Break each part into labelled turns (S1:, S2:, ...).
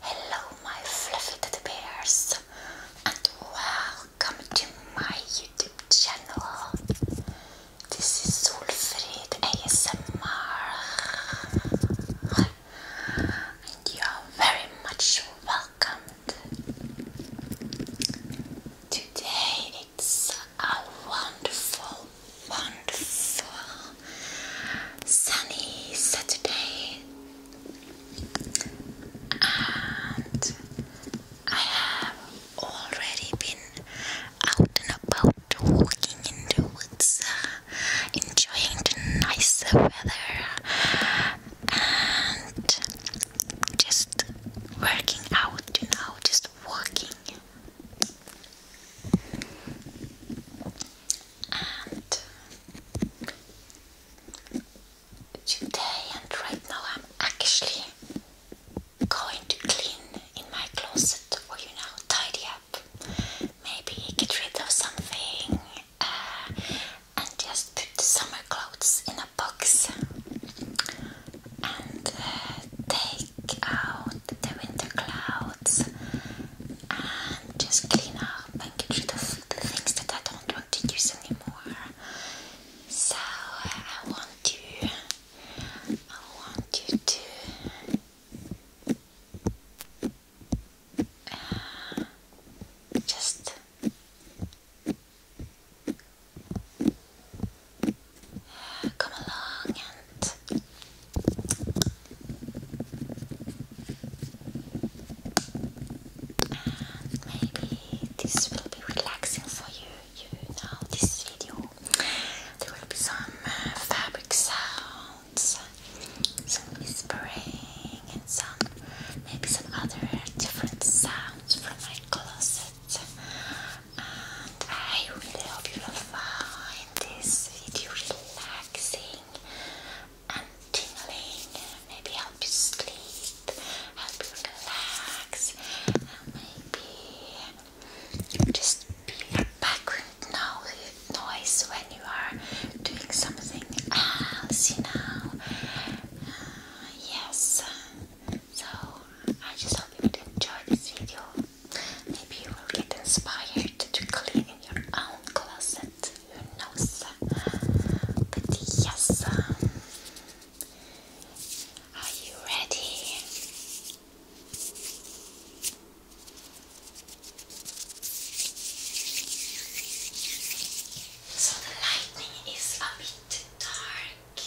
S1: Hello, my fluffy teddy and welcome to my YouTube channel. This is Solfrid ASMR, and you are very much welcomed. Today it's a wonderful wonderful sunny Saturday, and I have already been out and about walking in the woods, uh, enjoying the nice weather, and just working out, you know, just walking. And today and right now I'm actually going to clean in my closet or you know tidy up maybe get rid of something uh, and just put summer clothes in a box and uh, take out the winter clouds and just clean up and get rid of the things that I don't want to use anymore. So I want you, I want you to. Uh, just come along and maybe this will be relaxing for you. You know this video. There will be some uh, fabric sounds, some whispering, and some maybe some other different sounds from my closet and I really hope you will find this video relaxing and tingling, maybe help you sleep, help you relax, and maybe just be your background noise when you are doing something else, you uh, yes, so I just hope you would enjoy this video. Maybe you will get inspired to clean in your own closet. Who knows? But yes. Um, are you ready? So the lightning is a bit dark.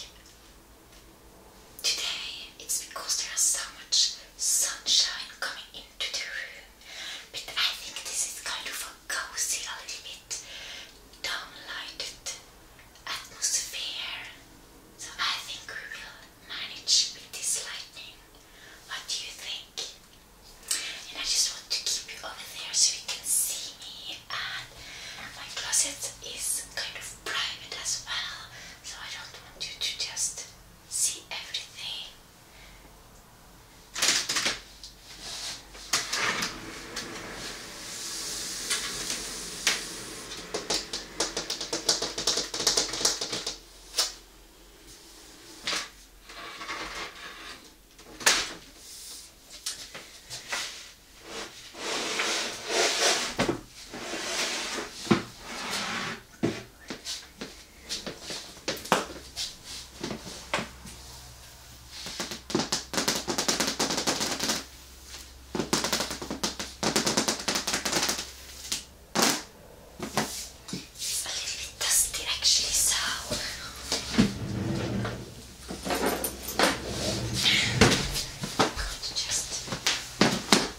S1: Today it's because there is so much sunshine coming into the room, but I think this is kind of a cozy, a little bit downlighted atmosphere. So I think we will manage with this lightning. What do you think? And I just want to keep you over there so you can see me. And my closet is kind of private as well, so I don't want you to just see everything. It's a little bit dusty actually, so I'm going to just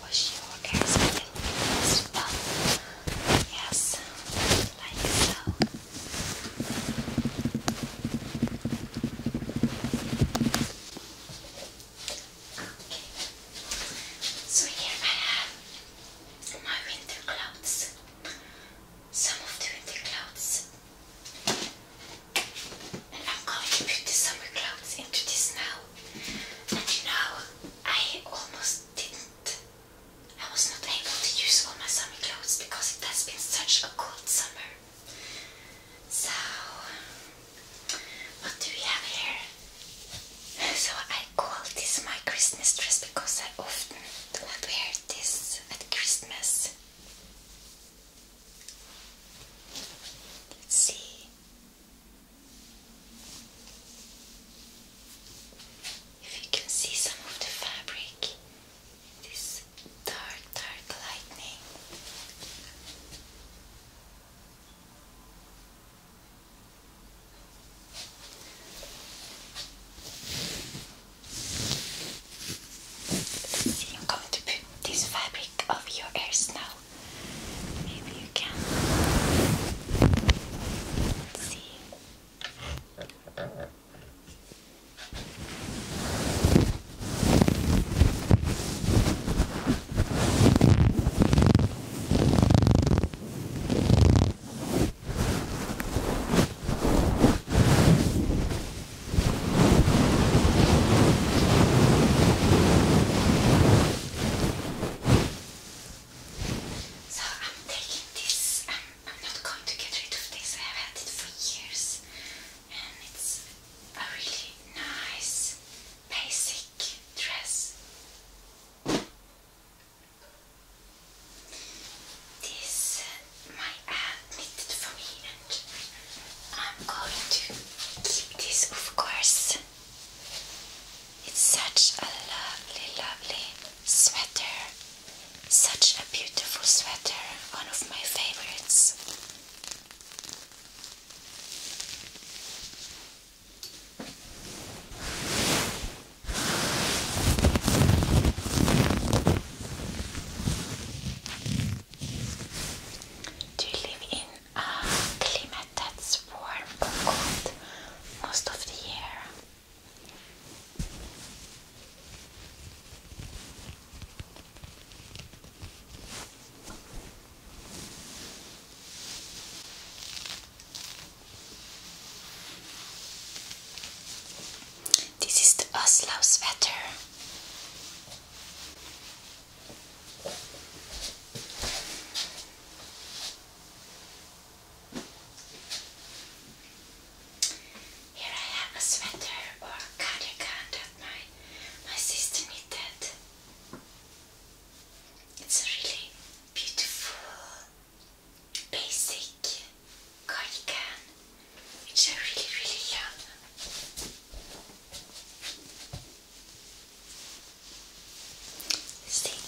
S1: Wash your ears a as well. Yes, like so. Okay. So I have my winter clothes. Some of the winter clothes. I'm going to put the summer clothes into this now. And you know, I almost didn't. I was not able to use all my summer clothes because it has been such a cold summer. So, what do we have here? So I call this my Christmas dress because I often will wear this at Christmas. Let's see if you can see some of the fabric. This dark, dark lightning. See, I'm going to put this fabric of your ears now well. Maybe you can. Let's see. So I'm taking this, I'm, um, I'm not going to get rid of this, I have had it for years and it's a really nice basic dress. This uh, my aunt knitted for me I'm going to keep this, of course. It's such a lovely, lovely sweater. Such a beautiful sweater, one of my favorites. Do you live in a climate that's warm or cold most of the year? This is the Oslo's weather. Here I have a sweater or cardigan that my my sister knitted. It's a really beautiful basic cardigan which I really really love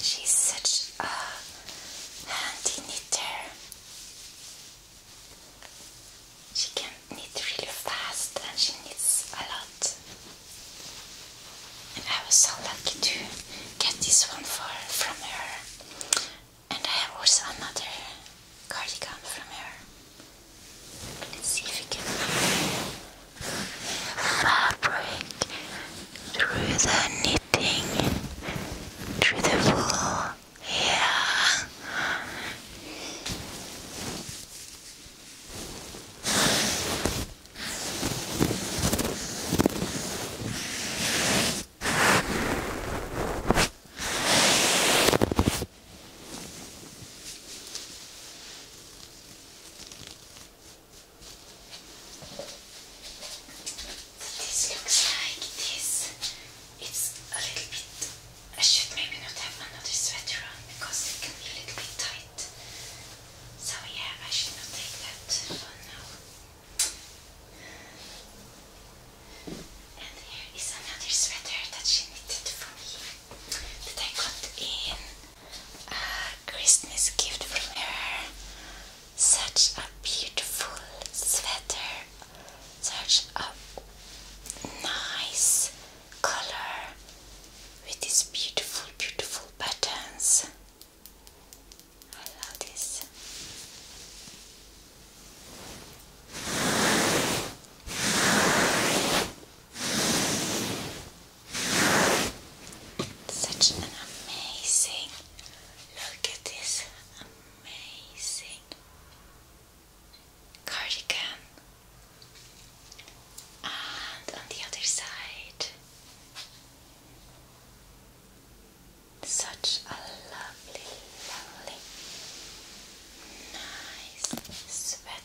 S1: she's such a handy knitter. She can knit really fast and she knits a lot. And I was so lucky to get this one for from her. And I have also another cardigan from her. Let's see if we can fabric through the knitting, through the wool. Yeah. This looks like this. It's a little bit. I should maybe not have another sweater on because it can be a little bit tight. So, yeah, I should not take that for now. And here is another sweater that she knitted for me that I got in a Christmas gift from her. Such a beautiful sweater, such a nice color with these beautiful, beautiful buttons. I love this. Such an amazing look at this amazing cardigan. And on the other side, such a lovely, lovely, nice sweater.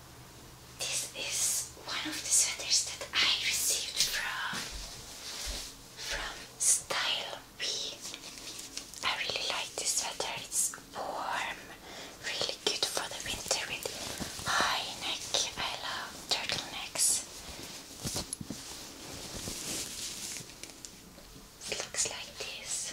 S1: This is one of the sweaters that I received from from Style B. I really like this sweater. It's warm, really good for the winter with high neck. I love turtlenecks. It looks like this.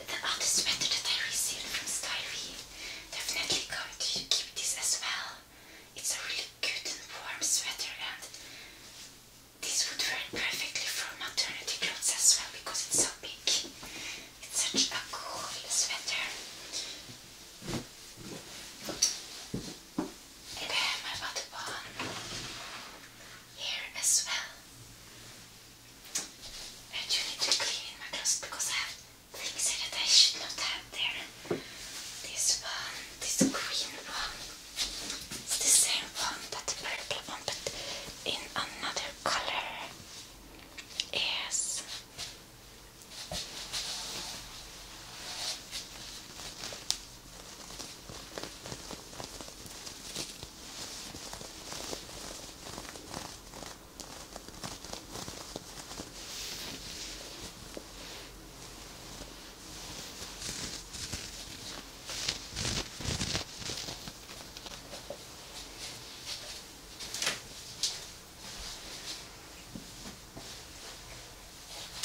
S1: the artist sweater that I received from Styleview. Definitely going to keep this as well. It's a really good and warm sweater and this would work perfectly for maternity clothes as well because it's so big. It's such a cool sweater. And I have my other one here as well. I do need to clean my clothes because I things that I should not have there. This one, this green one, it's the same one, that the purple one, but in another color. Yes.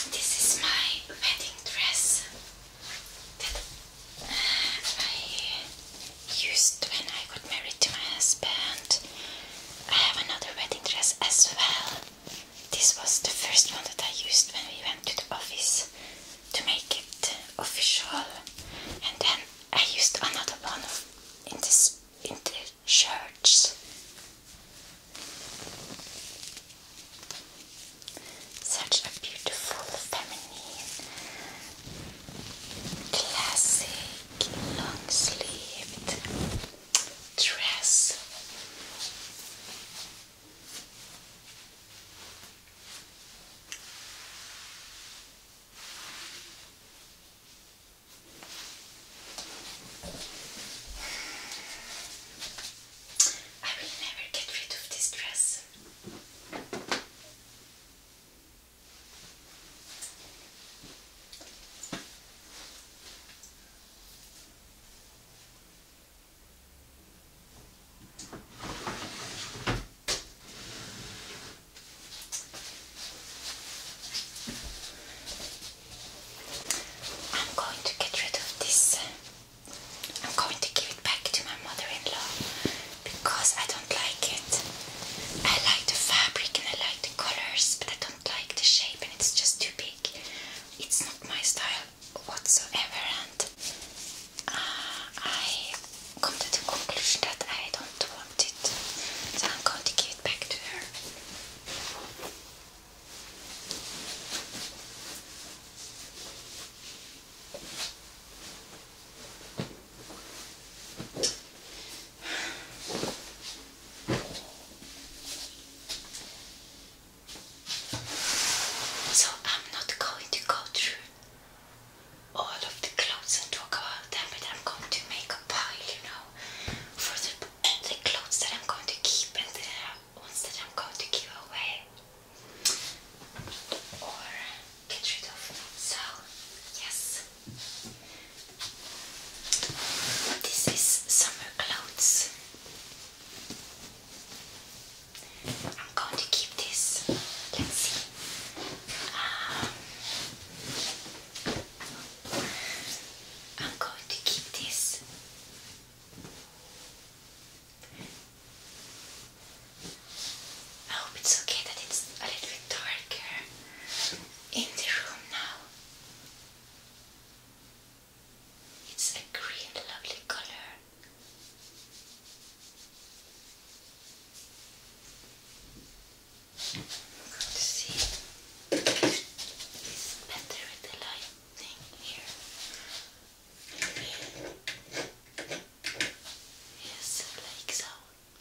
S1: This is my wedding dress that I used when I got married to my husband. I have another wedding dress as well. This was the first one that I used when we went to the office to make it official, and then I used another one in this in the church. Such a beautiful, feminine, classy long sleeved dress. I will never get rid of this dress. I'm going to get rid of this. I'm going to give it back to my mother-in-law because I don't like it. I like the fabric and I like the colors, but I don't like the shape and it's just too big. It's not my style whatsoever, and uh, I come to the conclusion that I don't want it. So I'm going to give it back to her. So I'm not going to go through all of the clothes and talk about them, but I'm going to make a pile, you know, for the, the clothes that I'm going to keep and the ones that I'm going to give away get rid of. me. So, yes, this is summer clothes. I'm going to keep this. Let's see. Um, I'm going to keep this. I hope it's okay that it's a little bit darker in the room now. It's a green, lovely color. I'm see it's better with the lightning here. Yes, like so. So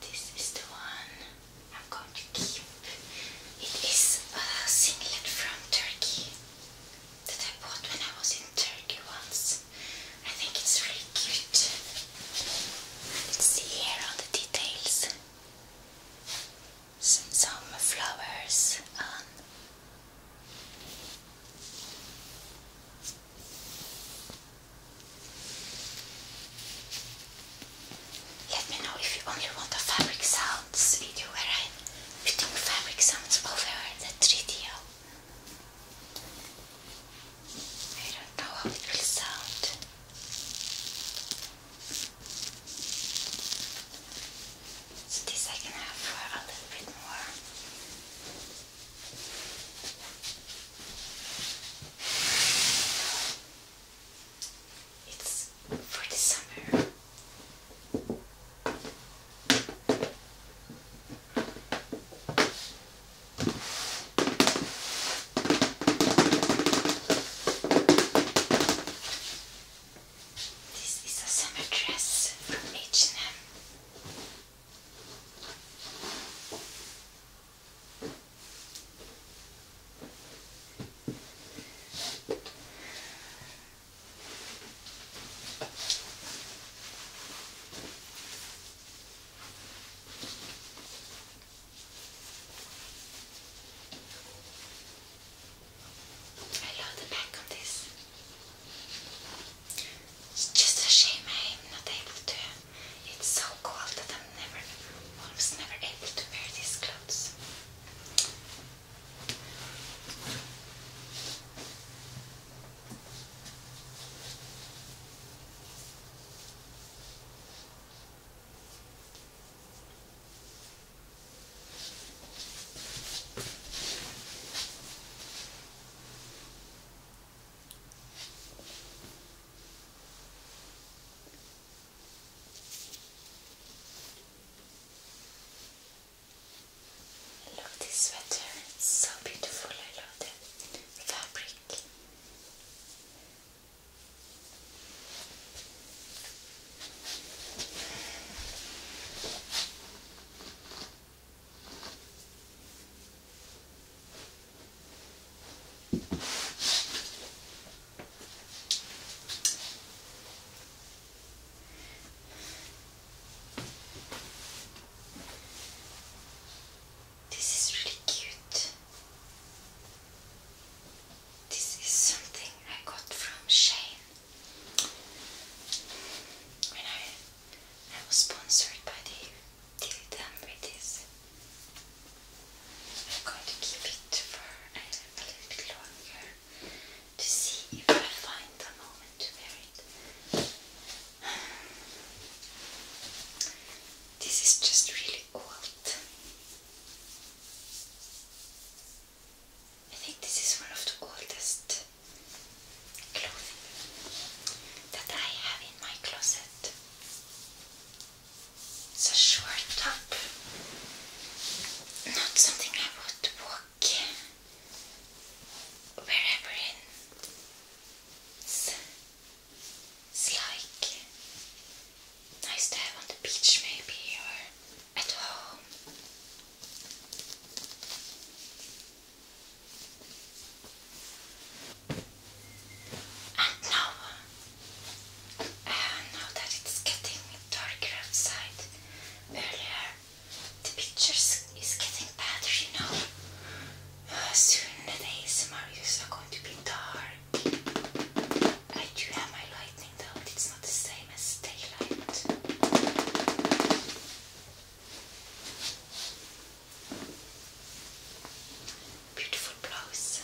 S1: this is the one I'm going to keep. It is a singlet from Turkey that I bought when I was in Turkey once. I think it's really cute. Let's see here on the details. Some flowers on let me know if you only want a fabric sounds video where i uh, putting fabric sounds over the 3D. I don't know how it will sound. So this I can have for a little bit more. It's for the summer. This is a summer dress from H&M. I love the back of this. It's just a shame I am not able to. It's so cold that I'm never, almost never able to wear these clothes. Look this sweater, it's so beautiful, I love the fabric. This is really cute. This is something I got from Shane. When I, I was sponsored by the Dilly I'm going to keep it for a, little bit longer to see if I find the moment to it. This is just really old. I think this is one of the oldest clothing that I have in my closet. It's a short top, not something I would walk wherever in. it's like nice to have on the beach, maybe, or at home. And now, uh, now that it's getting darker outside, earlier the pictures is getting better, you know. Uh, soon the ASMR views are going to be dark. I do have my lightning though, but it's not the same same as daylight. Beautiful blouse.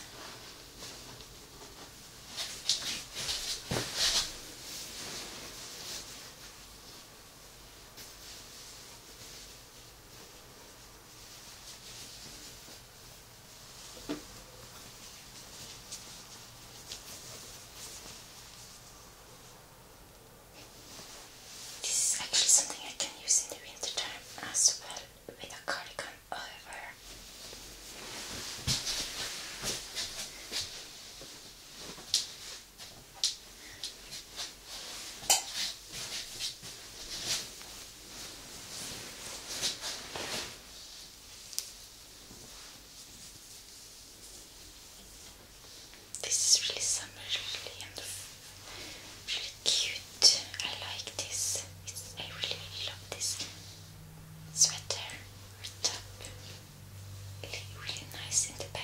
S1: This is actually something I can use in the winter time as well with a cardigan over. This is really summer, really really cute. I like this. I really, love this sweater Really, really nice in the back.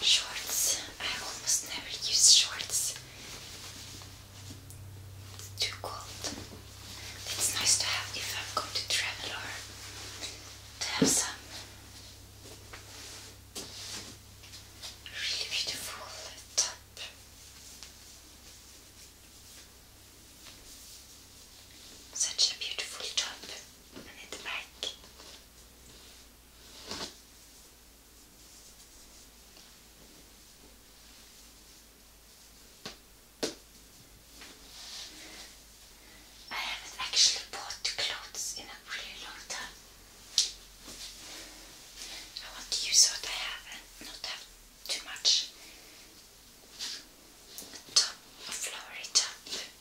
S1: Shorts. I almost never use shorts. It's too cold. It's nice to have if I'm going to travel or to have some really beautiful top. Such a beautiful top. I haven't actually bought clothes in a really long time. I want to use what I have and not have too much. Top of flowery top.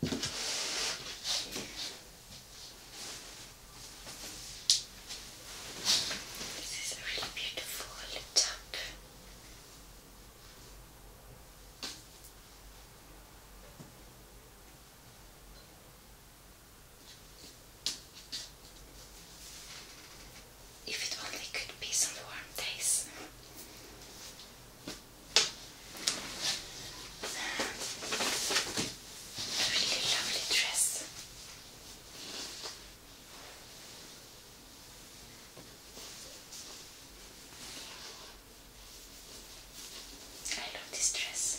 S1: This is a really beautiful tap. If it only could be some warm days. A really lovely dress. I love this dress.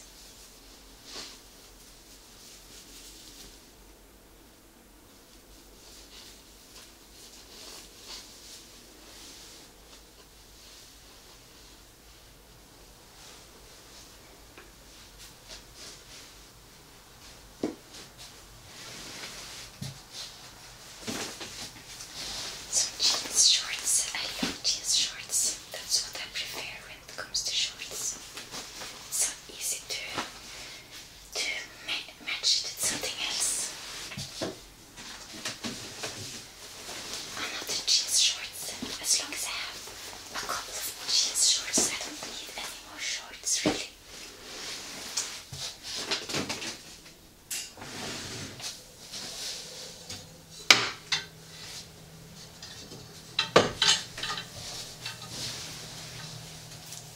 S1: So jeans shorts, I love jeans shorts. That's what I prefer when it comes to shorts. So easy to to match it with something else. I'm not in jeans shorts. As long as I have a couple of jeans shorts, I don't need any more shorts, really.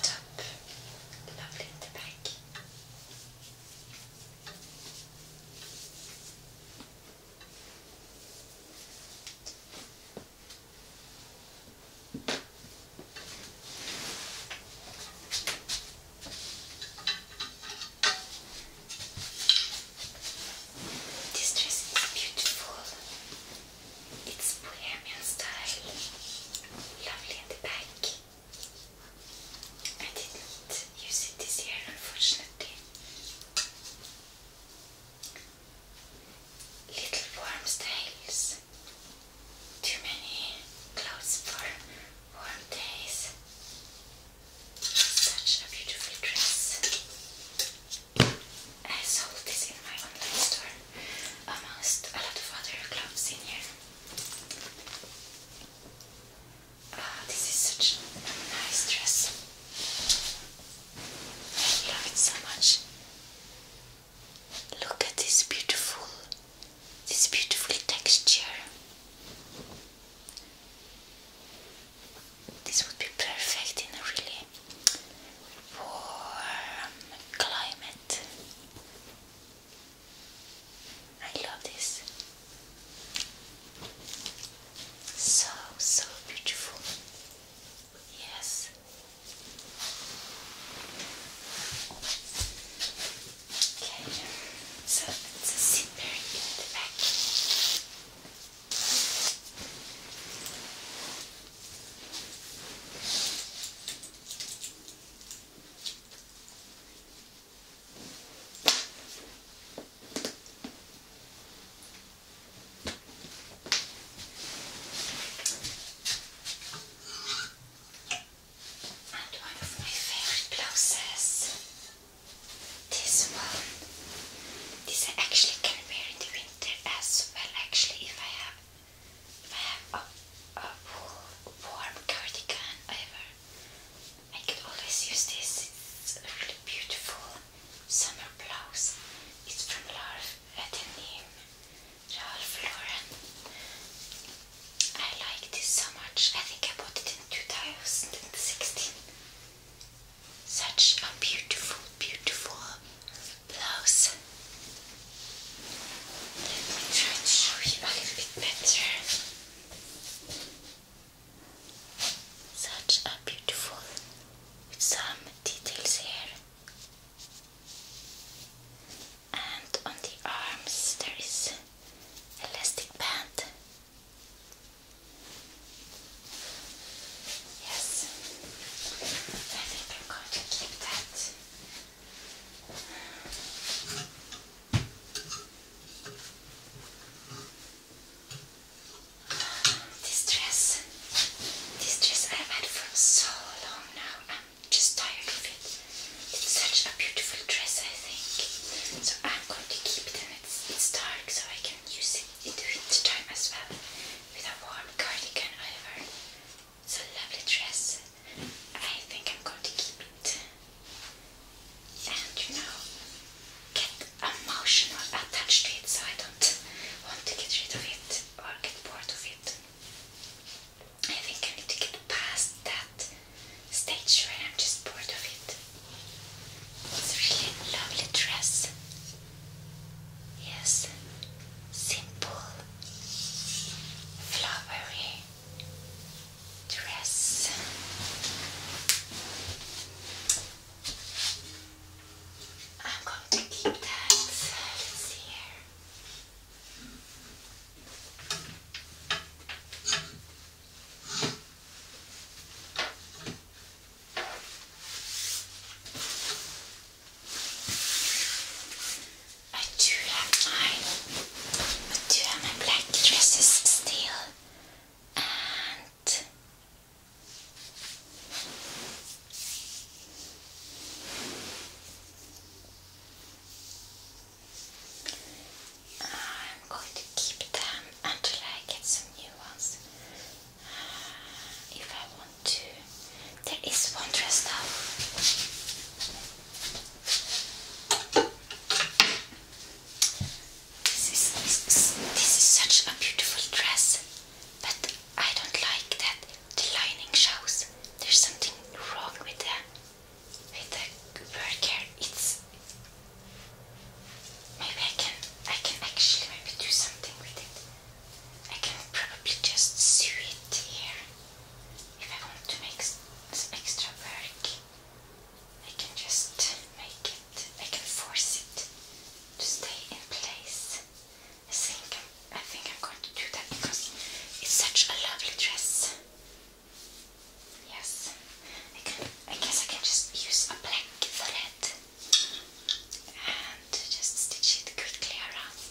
S1: Top, lovely in the back. This dress is beautiful. It's bohemian style. Lovely at the back. I didn't use it this year, unfortunately. Little worms' tails. Too many clothes for warm days. Such a beautiful dress. I sold this in my online store amongst a lot of other gloves in here. Ah, this is such a nice dress. I love it so much. Look at this beautiful, this beautiful texture. This would be perfect in a really warm climate. I love this. So, so beautiful. Yes. Okay, so it's a zip pairing in back. And one of my favorite blouses. This one. This I actually can wear in the winter as well. Actually, if I have, if I have a, a warm cardigan, I I could always use this. It's a really beautiful summer blouse. It's from Ralph name Ralph Lauren. I like this so much. I think I bought it in 2016. Such a beautiful, beautiful blouse. Let me try to show you a little bit better. Such a beautiful with some details here. And on the arms there is elastic band. Yes, I think I'm going to keep that. This dress, this dress I have had for so long now. I'm just tired of it. It's such a beautiful dress, I think. So I'm going to keep it, and it's, it's dark, so I can use it in the winter time as well with a warm cardigan over. It's a lovely dress. I think I'm going to keep it and you know get emotional attached to it so I don't want to get rid of it or get bored of it. I think I need to get past that stage where I'm just bored of it. It's really lovely dress. Yes, simple, flowery, dress. I'm going to keep that. here. I do have my I do have my black dresses still and I'm going to keep them until I get some new ones. If I want to, there is one dressed up. This is, this is such a beautiful dress, but I don't like that the lining shows. There's something wrong with the, with the work here. It's maybe I can I can actually maybe do something with it. I can probably just sew it here if I want to make some extra work. I can just make it, I can force it to stay in place. I think I'm, I think I'm going to do that because it's such a lovely dress. Yes, I, can, I guess I can just use a black thread and just stitch it quickly around.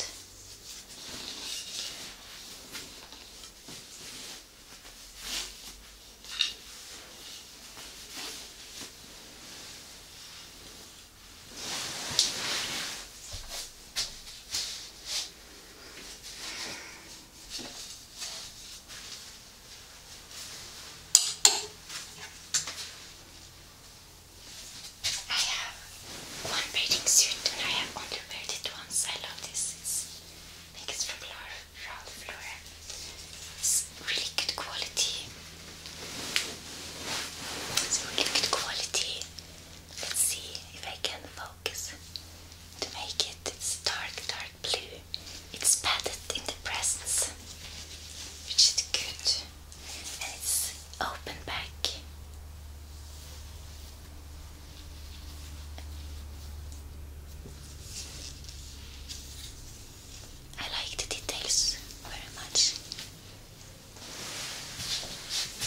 S1: I have one bathing suit and I have underwear that once. I love this. It's, I from Laura it's really good quality. really good quality. Let's see if I can focus to make it. dark, dark blue. It's padded in the presence, which is good, and it's open back. I like the details very much. This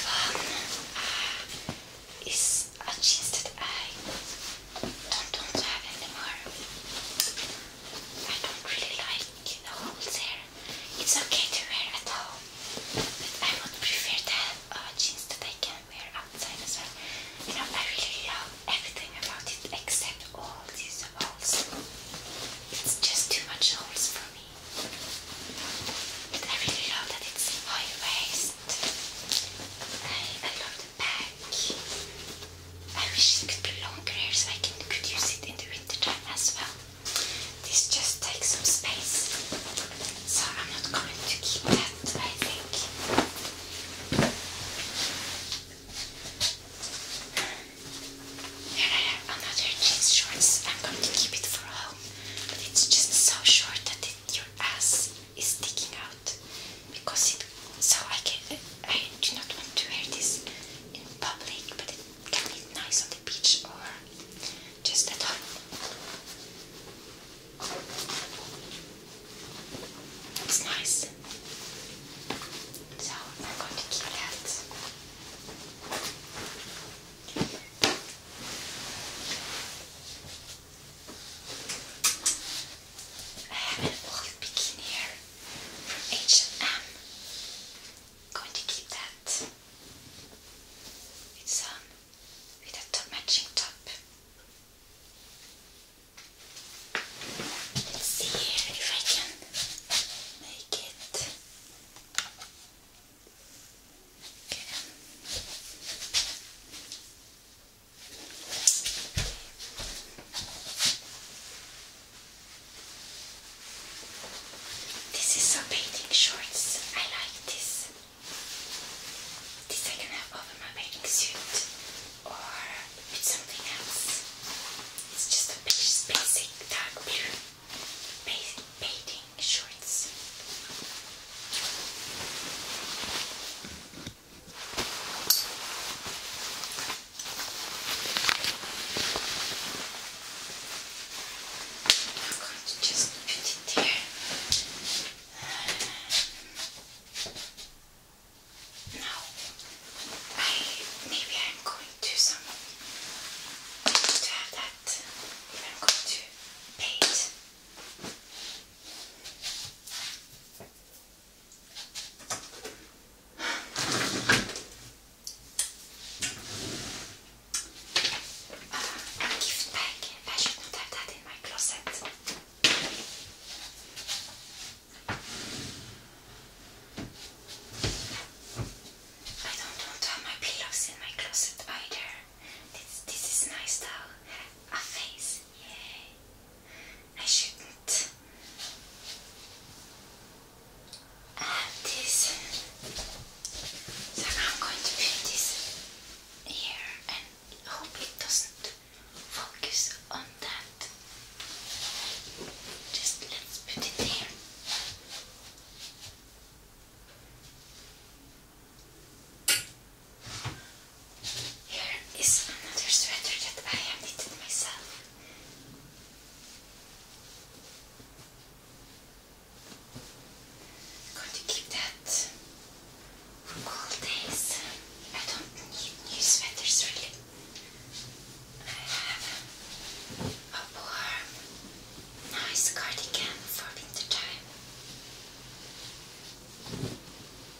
S1: one ah, is a cheese that I don't have any I don't really like the holes here. It's okay to wear at home, but I would prefer to have uh, jeans that I can wear outside as well. You know, I really love everything about it except all these holes. It's just too much holes for me. But I really love that it's high waist. I love the bag. I wish it could be longer here so I can, could use it in the winter time as well. This just takes some space, so I'm not going to keep that, I think. Here I have another jeans shorts. I'm going to keep it for home, but it's just so short that your ass is sticking out because it so I can I do not want to wear this in public, but it can be nice on the beach or just at home. It's nice. So I'm going to keep that. I have an old bikini here from H&M. Going to keep that. It's on um, with a matching top. Let's see here if I can make it. Okay. This is some bathing shorts. I like this. This I can have over my bathing suit or with something else. It's just a basic dark blue bathing shorts. I'm going to just put it there. Now, I, maybe I'm going to some to have that. I'm going to paint gift bag. I should not have that in my closet. I don't want to have my pillows in my closet either. This, this is nice though. A face, yay. I shouldn't have this. So I'm going to put this here and hope it doesn't focus on that. Just let's put it here. Here is another sweater that I have knitted myself. going to keep that for cold days. I don't need new sweaters really. I have a warm, nice cardigan for winter time. I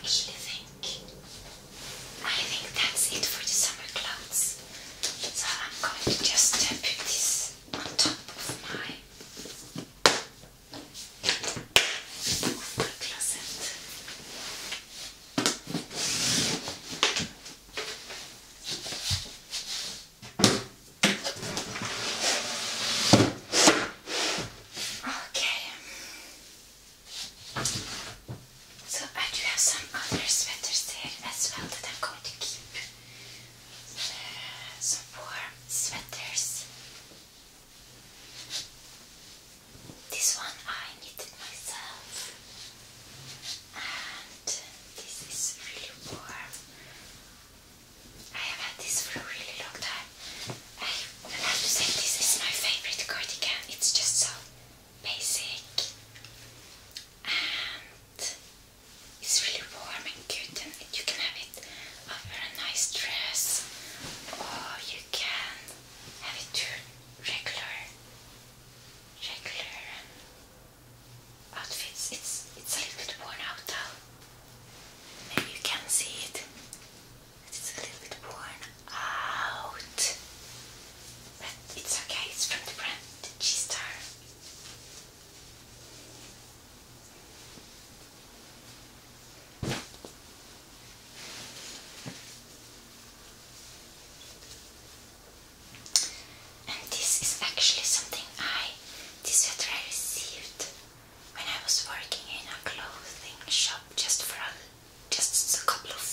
S1: actually think I think that's it for the summer clothes. So I'm going to just uh, put this on top of my, of closet. Okay. So I do have some other sweaters there as well that I'm going to keep some warm sweaters. This one I knitted myself, and this is really warm. I have had this for a really long time. I have to say, this is my favorite cardigan. It's just so basic it's really warm and cute, and you can have it over a nice dress, or you can have it to regular, regular um, outfits. It's it's a little bit worn out now. Maybe you can see it. It's a little bit worn out, but it's okay. It's from the brand G Star. And this is actually something I, this sweater I received when I was working in a clothing shop just for a, just a couple of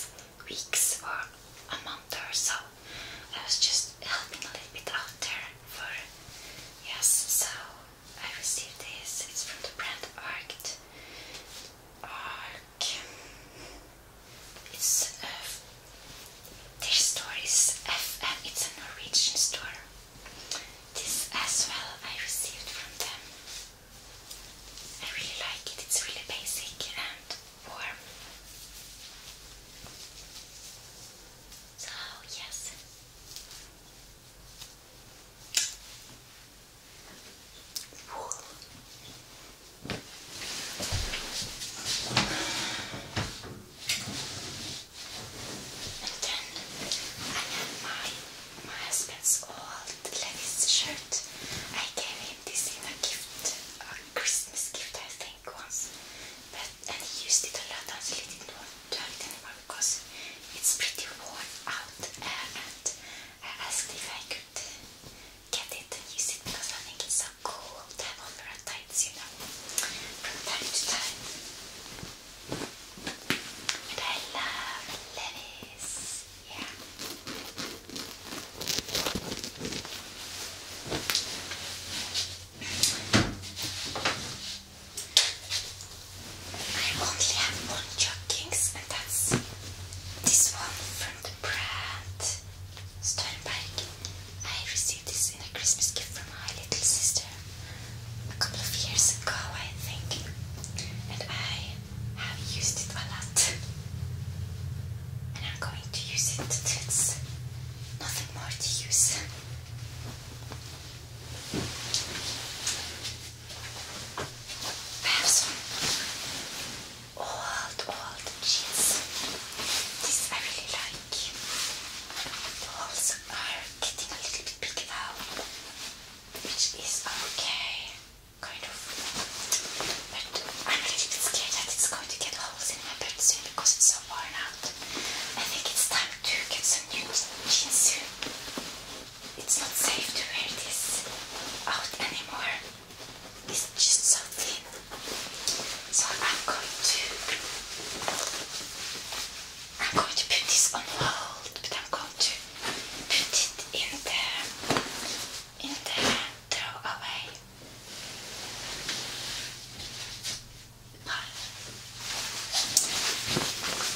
S1: weeks or a month or so. I was just helping a little bit out there for yes. So I received this. It's from the brand Arct. Arc. It's a uh, their store It's a Norwegian store. This as well I received from them. I really like it. It's really basic and warm. So, oh, yes. Whoa. And then my my husband's old Levi's shirt. I gave him this in a gift, a Christmas gift I think once but and he used it a lot. and he didn't want to have it anymore because it's pretty worn out. Uh, and I asked if I could get it and use it because I think it's so cool to have tights, you know, from time to time. And I love Levi's. Yeah. I only have one joggings and that's this one from the brand Steinberg. I received this in a Christmas gift from my little sister a couple of years ago I think and I have used it a lot and I'm going to use it till it's nothing more to use old, old jeans. This I really like. The holes are getting a little bit big now, which is okay, kind of. But I'm a little bit scared that it's going to get holes in my bed soon because it's so far now. I think it's time to get some new jeans It's not safe to wear this out anymore. It's just so thin. So I'm going to I'm going to put this on hold, but I'm going to put it in the in the throw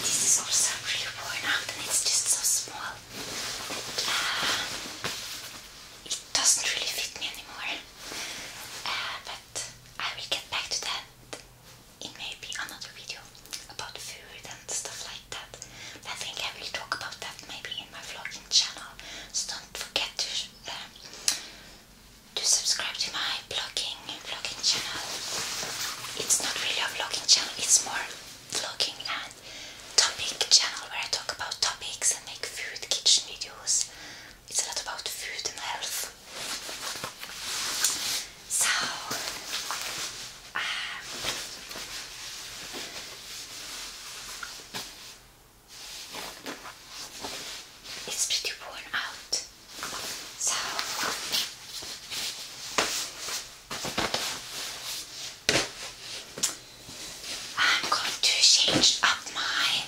S1: this is also really worn out and it's just so small uh, it doesn't really fit me anymore. Uh, but I will get back to that in maybe another video about food and stuff like that. I think I will talk about that maybe in my vlogging channel. So don't forget to uh, to subscribe to my vlogging vlogging channel. It's not really a vlogging channel, it's more vlogging and topic channel where I talk about topics and make food kitchen videos. It's a lot about food and health. So um, it's pretty worn out. So I'm going to change up my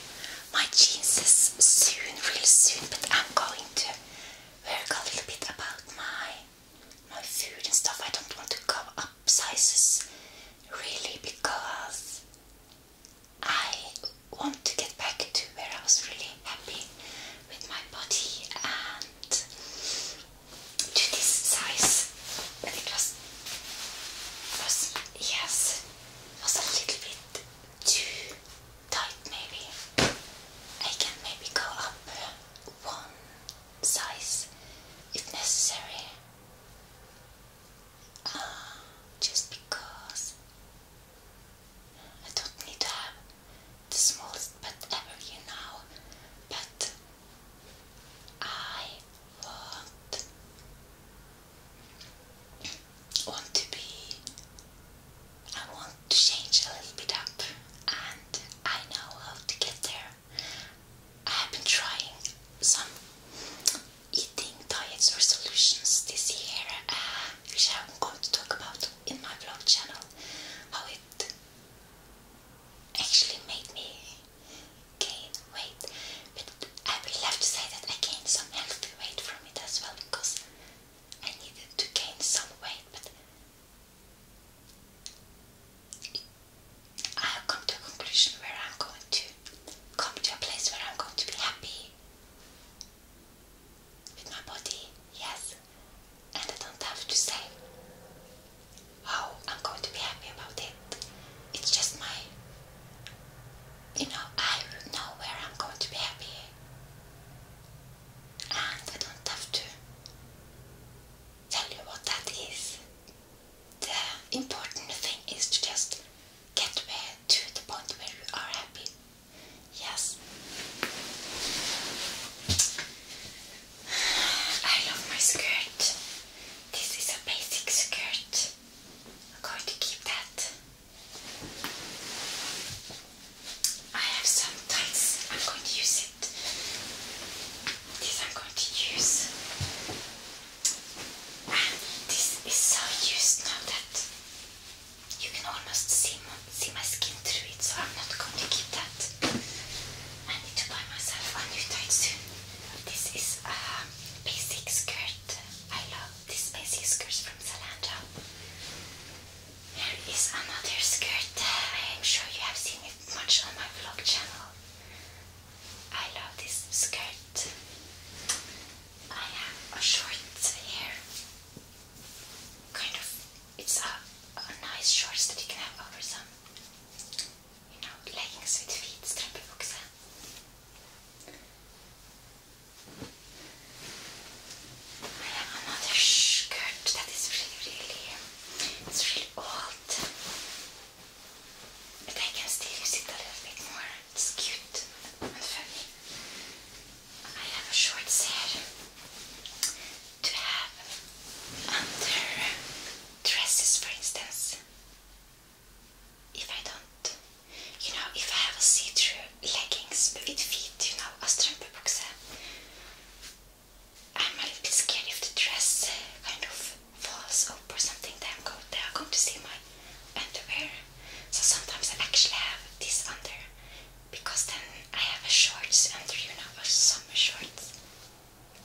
S1: my jeanses soon, real soon, but I'm going to work a little bit about my my food and stuff. I don't want to go up sizes really because I want to get back to where I was really happy with my body and to this size. it was, was yes, it was a little bit too tight maybe. I can maybe go up one size if necessary. Uh, just because I don't need to have the smallest pet ever, you know, but I want want to be I want to change a little bit up and I know how to get there. I have been trying some eating diets or solutions this year, uh, which I'm going to talk about in my vlog channel, how it actually made me gain weight. But I will have to say that I gained some healthy weight from it as well because I needed to gain some weight. But I have come to a conclusion where I'm going to come to a place where I'm going to be happy with my body, yes. And I don't have to say how I'm going to be happy about it. It's just my. You know, I know where I'm going to be happy. And I don't have to tell you what that is. The important thing is to just get to to the point where you are happy. Yes. I love my skirt. This is a basic skirt. I'm going to keep that. I have some tights. I'm going to use it. This I'm going to use. this is so used now that you can almost see my, see my skin through it, so I'm not going to keep that. I need to buy myself a new tight soon. This is a basic skirt. I love this basic skirt from Zalando. Here is another skirt. I am sure you have seen it much on my vlog channel. I love this skirt. I have a short Kind of, it's a, nice shorts that you can have over some, you know, leggings with feet, strappenboxen. I have another skirt that is really, really, it's really old. But I can still use a little bit more. It's cute and funny. I have a short hair to have under dresses, for instance. If I don't, you know, if I have a see-through leggings with feet, you know, a strumpebukse, I'm a little bit scared if the dress kind of falls up or something, then I'm going to see my underwear so sometimes I actually have this under because then I have a shorts under, you know, a summer shorts.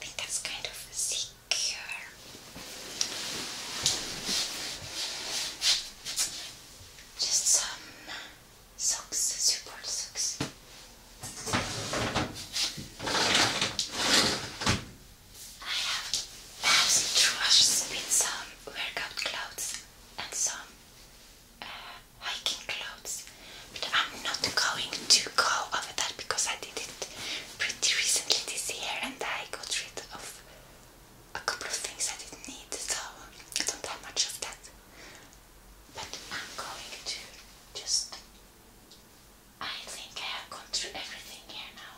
S1: I think that's kind of secure. Just some socks, support socks. I have, I have some with some workout clothes and some uh, hiking clothes. But I'm not going to go over that because I did it pretty recently this year and I got rid of a couple of things I didn't need, so I don't have much of that. But I'm going to just. I think I have gone through everything here now.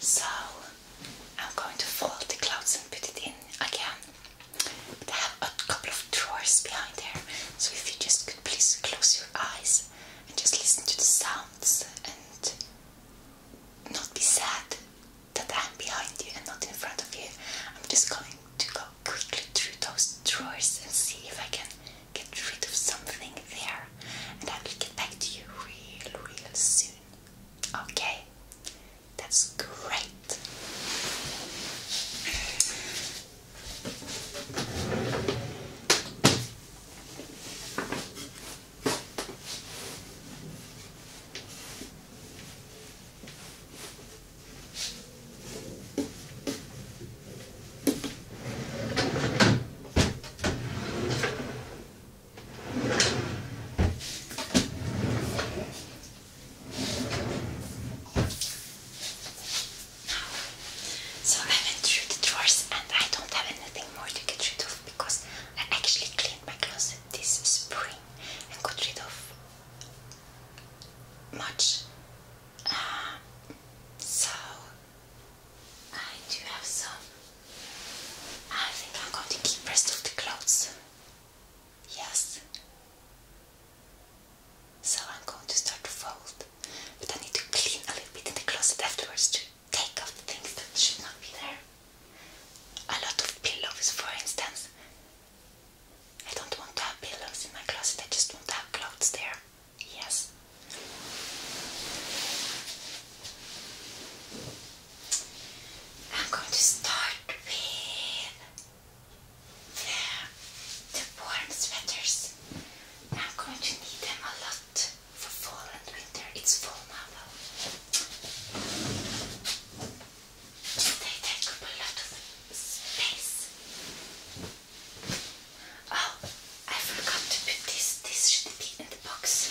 S1: So I'm going to fold the clothes and put it in again. I have a couple of drawers behind there, so if you just could please close your eyes and just listen to the sounds and not be sad that I'm behind you and not in front of you. I'm just going to go quickly through those drawers and see if I can get rid of something there, and I will get back to you real, real soon. Okay, that's great. So I went through the drawers and I don't have anything more to get rid of because I actually cleaned my closet this spring and got rid of much. Uh, so I do have some I think I'm going to keep rest of the clothes. Yes. So I'm going to start fold, but I need to clean a little bit in the closet afterwards to take off things that should not be there. A lot of pillows, for instance. I don't want to have pillows in my closet, I just want to have clothes there. Yes. I'm going to start with the, the warm sweaters. I'm going to need them a lot for fall and winter. It's fall now though. They take up a lot of space. Oh, I forgot to put this. This should be in the box.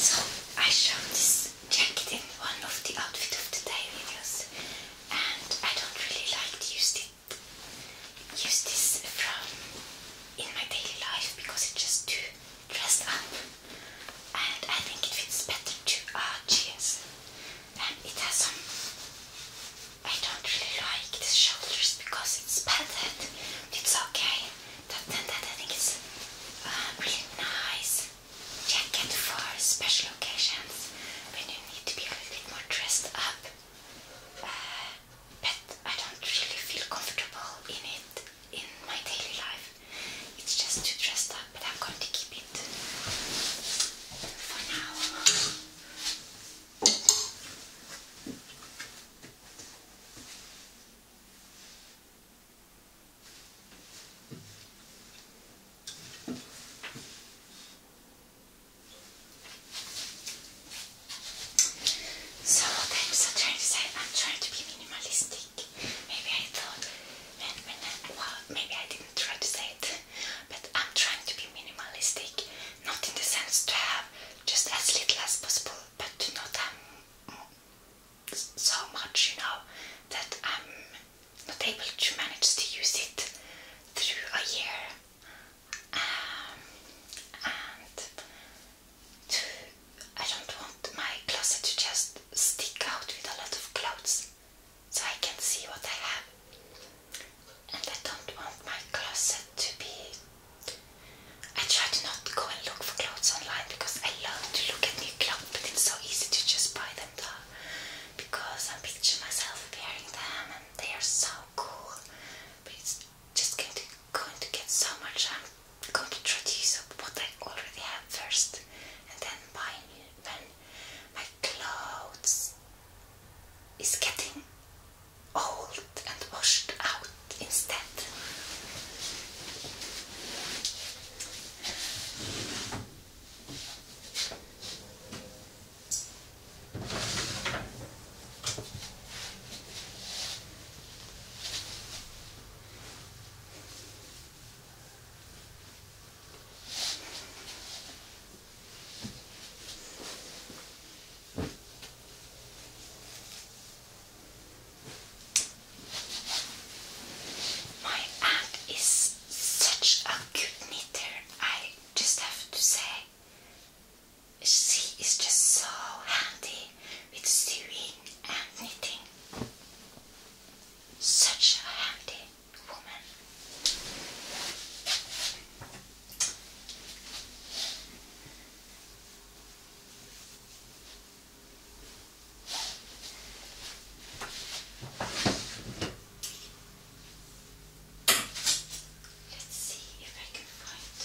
S1: So I showed this jacket in one of the outfit of the day videos and I don't really like to use it use this from in my daily life because it's just too dressed up and I think it fits better to our uh, it has some. I don't really like the shoulders because it's padded. It's okay. That, that, that I think it's really nice jacket for special occasions when you need to be a little bit more dressed up. Uh, but I don't really feel comfortable in it in my daily life. It's just too dressed up. I'm So what I'm so trying to say, I'm trying to be minimalistic. Maybe I thought, well, maybe I didn't try to say it but I'm trying to be minimalistic, not in the sense to have just as little as possible, but to not have so much, you know, that I'm not able to manage to use it through a year. Um, and to, I don't want my closet to just stick out with a lot of clothes so I can see what I have. And I don't want my closet to be. I try to not go and look for clothes online because I love to look at new clothes, but it's so easy to just buy them Because I picture myself wearing them and they are so cool. But it's just going to, get so much. I'm going to try to use up what I already have first and then buy new. When my clothes is getting old and washed out instead. My aunt is such a good knitter, I just have to say. She is just so handy with sewing and knitting. Such a handy woman. Let's see if I can find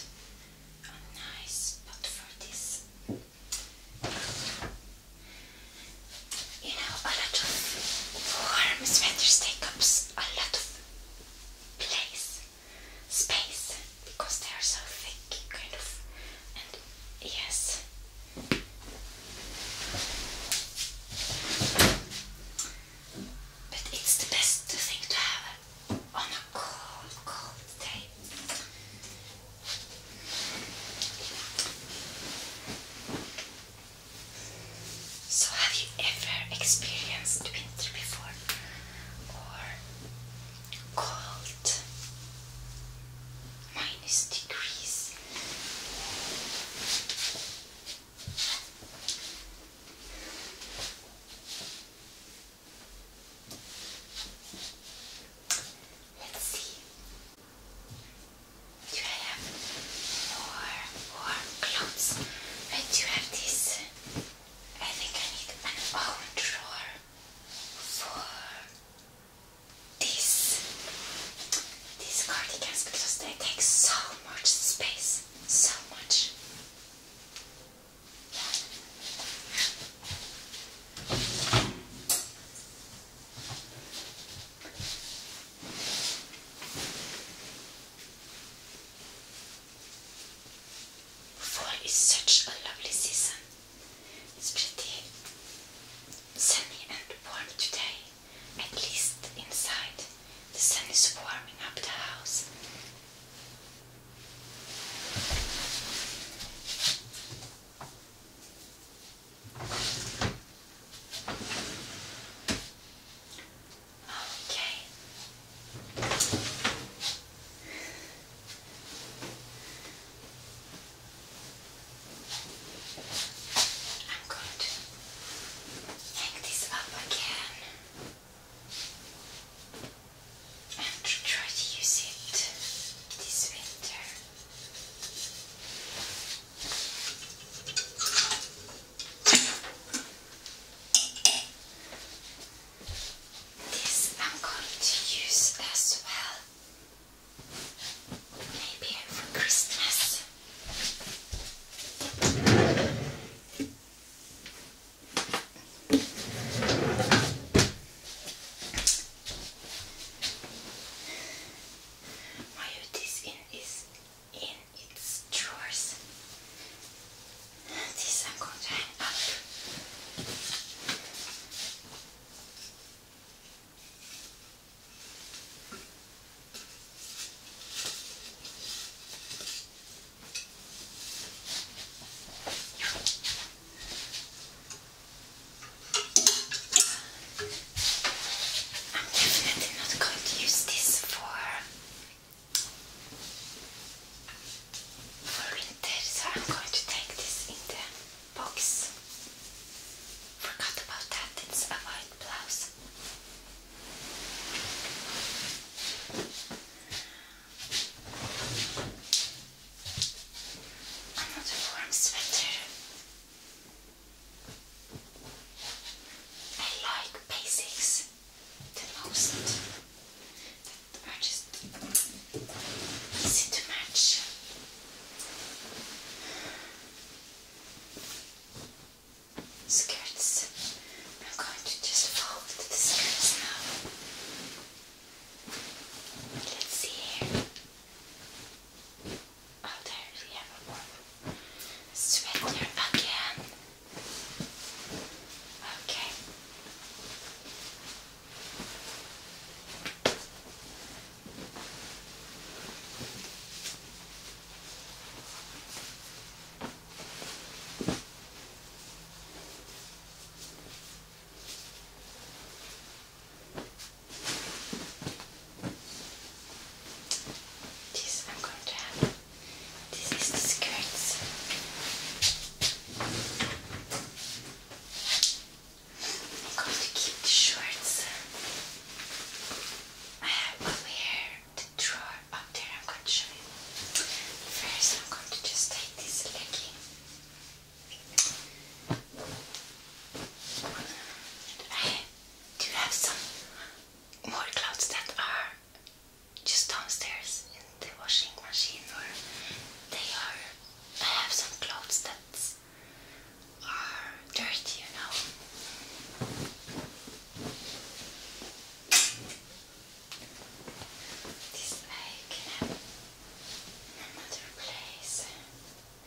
S1: a nice spot for this you know, a lot of warm sweaters take up a lot of place, space, because they are so thick, kind of. And yes. But it's the best thing to have on a cold, cold day. So, have you ever experienced winter before? Or cold? Minus degrees. Let's see. Do I have more warm clothes? I do have this. I think I need an own drawer for these these cardigans because they take so much space, so much. Fall is such a lovely season. It's pretty sunny and warm today, at least inside. The sun is warming up the house. Okay. I'm going hang this up again and try to use it this winter. This I'm going to use as well, maybe for Christmas. My routine is in its drawers. This I'm going to hang up. I'm definitely not going to use this for, for winter, so I'm going to take this in the box. Forgot about that, it's a white blouse. Another warm sweater. I like basics the most. That are just easy Skirts. I'm going to just fold the skirts now. Let's see here i Oh, there's the envelope. Swindler again. Okay. This I'm going to have. This is the skirts. I'm going to keep the shorts. I have over here the drawer up there. I'm going to show you. First, I'm going to just take this legging. I do have some more clothes that are just downstairs in the washing machine, or they are. I have some clothes that are dirty, you know. This I can have in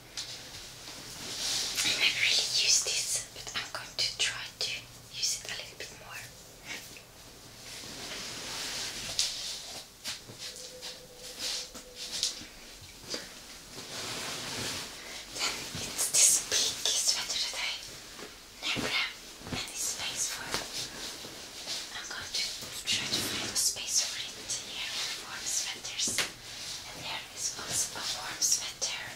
S1: I never really use this, but I'm going to try to use it a little bit more. it's this big sweater that never have any space for. I'm going to try to find a space for it here warm sweaters. And there is also a warm sweater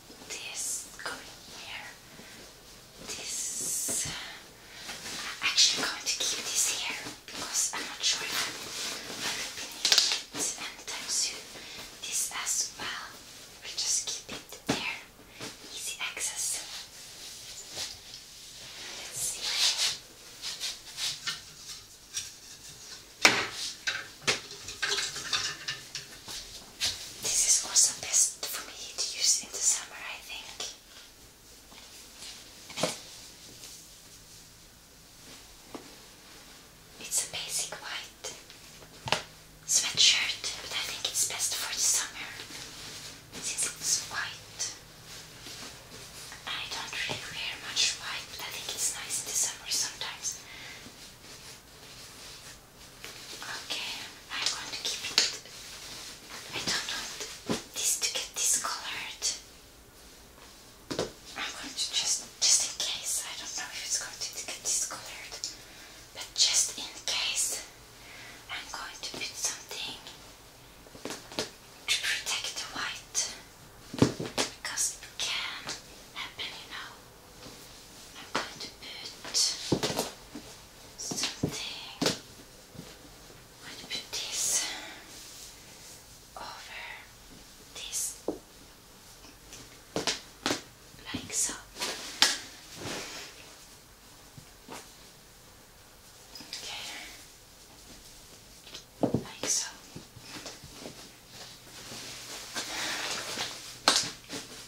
S1: this going here. This. i actually going to keep this here because I'm not sure if I will be needing it anytime soon. This as well. We'll just keep it there. Easy access. Let's see. This is also best for me to use in the summer, I think. It's a basic white sweatshirt, but I think it's best for the summer since it's white. I don't really wear much white, but I think it's nice in the summer sometimes. Okay, I'm going to keep it. I don't want this to get discolored. I'm going to just, just in case, I don't know if it's going to get discolored, but just in case, I'm going to put something to protect the white because it can happen, you know. I'm going to put something. I'm going to put this over this, like so. Okay, like so.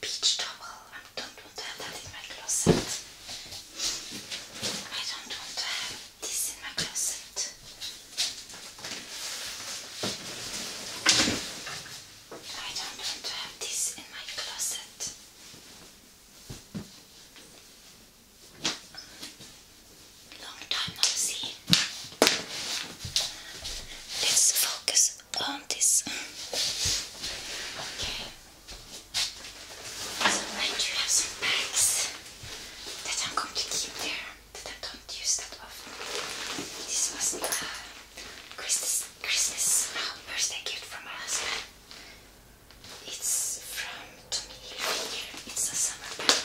S1: beach towel. I don't want to have that in my closet. I don't want to have this in my closet. I don't want to have this in my closet. Long time no see. Let's focus um, this on um, this. Okay. I do have some bags that I'm going to keep there that I don't use that often. This was a Christmas Christmas oh, birthday gift from my husband. It's from Tommy here. It's a summer bag.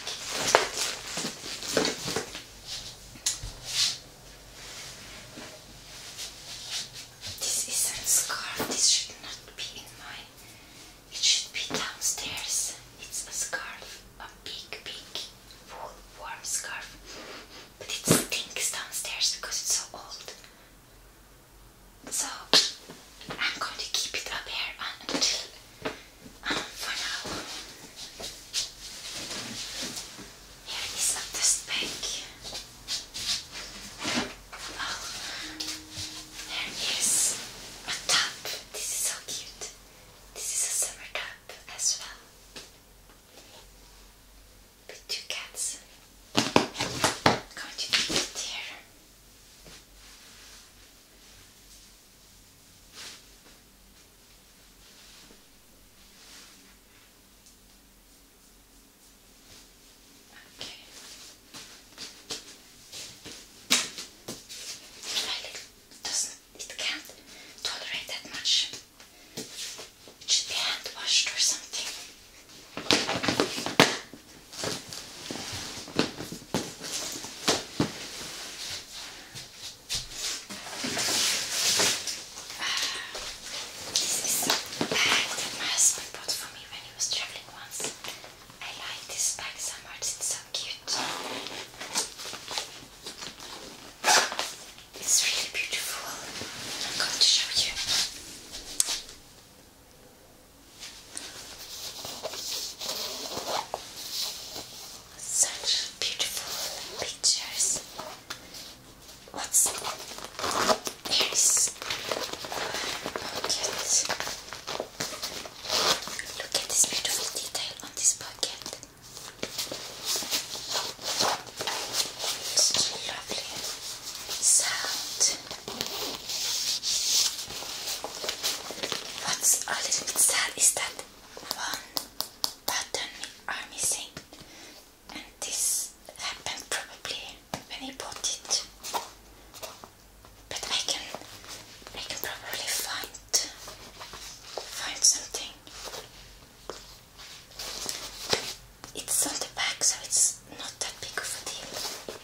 S1: This is a scarf, this should not be in my it should be downstairs. It's a scarf, a big big wool warm scarf. But it stinks downstairs because it's so old. So I'm going to keep it up here until um, for now. Here is at this bag. Oh, there is a top. This is so cute. This is a summer top as well. With two cats. I'm going to it here. Okay. Well, it doesn't, it can't tolerate that much. It should be hand washed or something. This is a bag that my husband bought for me when he was traveling once. I like this bag so much, it's so cute. It's really beautiful. I'm going to show you. Such beautiful pictures. What's this? Pocket. Look at this beautiful detail on this pocket. It's lovely sound. What's a little bit sad is that one button are missing this happened probably when I bought it. But I can, I can probably find, find something. It's on the back, so it's not that big of a deal.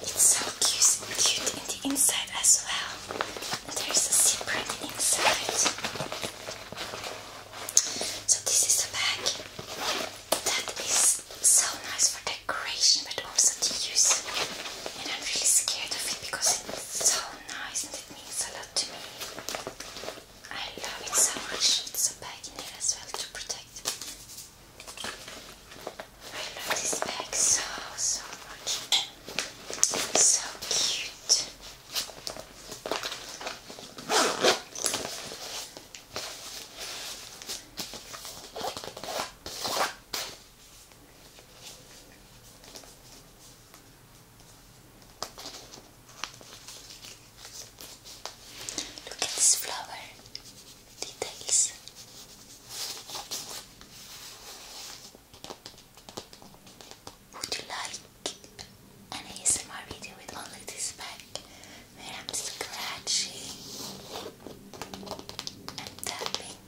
S1: It's so cute, cute in the inside as well. there's a zipper inside. So this is a bag that is so nice for decoration, but also to use. And I'm really scared of it because it's so nice and it means a lot to me. I love it so much. It's a bag in there as well to protect. I love this bag so, so much. so cute. Look at this flower details. Would you like an ASMR video with only this bag where I'm scratching and tapping?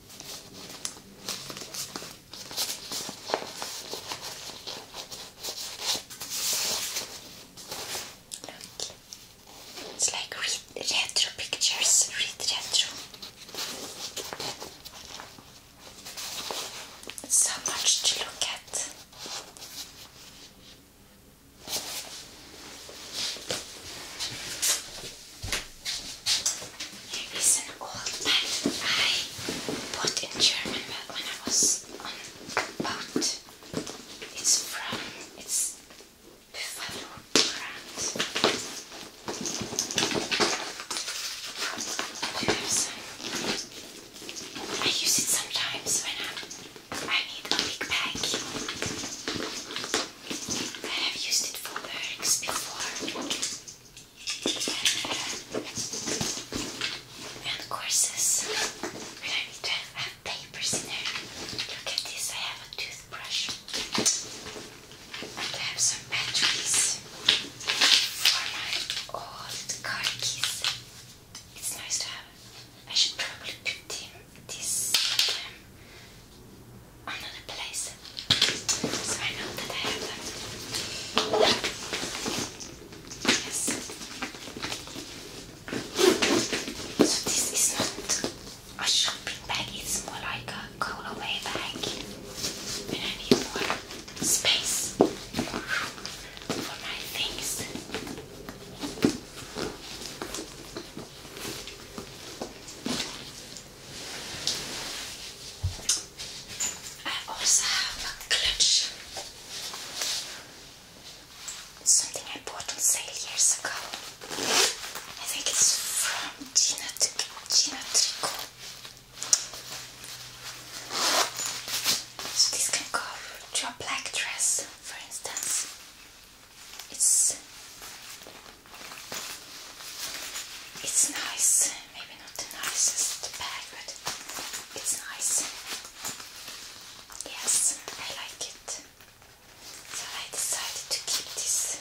S1: Look, it's like read retro pictures, read retro. So much to look at. There is an old map I bought in German when I was on boat. It's from it's I use it sometimes when i need a big bag. I have used it for bags before. And, uh, and When I need to have papers in there. Look at this, I have a toothbrush. I have some batteries for my old car keys. It's nice to have. I should probably put them this um, another place. So I know that I have them. Yes. So this is not a shopping bag. is more like a colourway bag, and I need more space for my things. I also have a clutch. something I bought on sale years ago. I think it's from Gina to geometrical. So this can go to a black dress, for instance. It's it's nice, maybe not the nicest bag, but it's nice. Yes, I like it. So I decided to keep this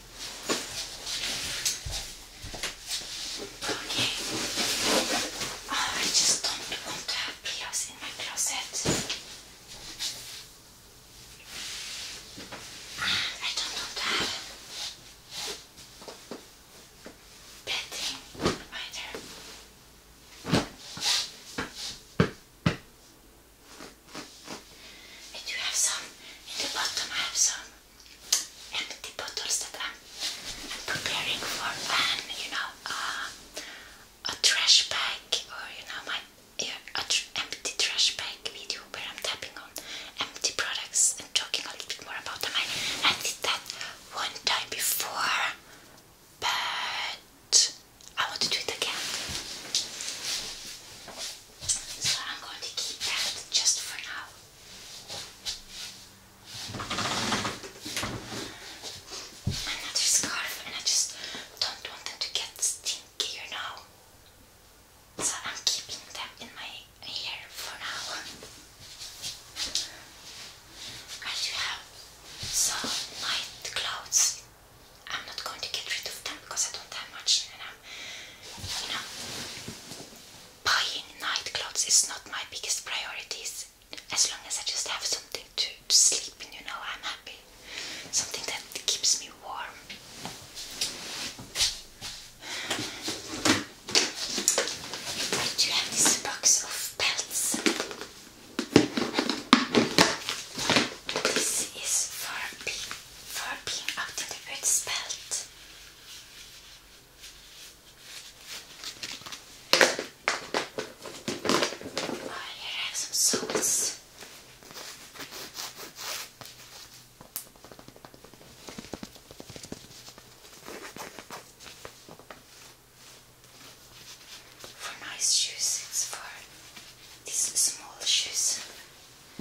S1: Oh, I just don't want to have pillows in my closet. And I don't want to have I do have some in the bottom, I have some and bottles that I'm preparing for an, you know, uh, a trash bag or you know my empty trash bag video where I'm tapping on empty products and talking a little bit more about them. I, I did that one time before, but I want to do it again. So I'm going to keep that just for now. Another scarf, and I just don't want them to get stinky, you know. So I'm keeping them in my hair for now. And you have some light clothes. I'm not going to get rid of them because I don't have much and i you know, buying night clothes is not my biggest priorities. As long as I just have something to, sleep in, you know, I'm happy. Something that keeps me warm. I do have this box of belts. This is for, be, for being out in the woods belt. I have some socks. For nice shoes, for these small shoes. I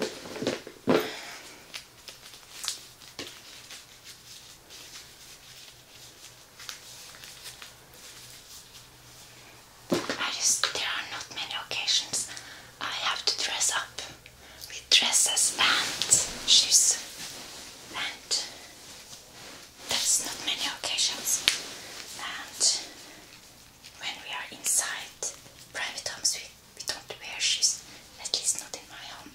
S1: there are not many occasions I have to dress up with dresses and shoes, and that's not many occasions. And when we are inside private homes, we we don't wear shoes, at least not in my home.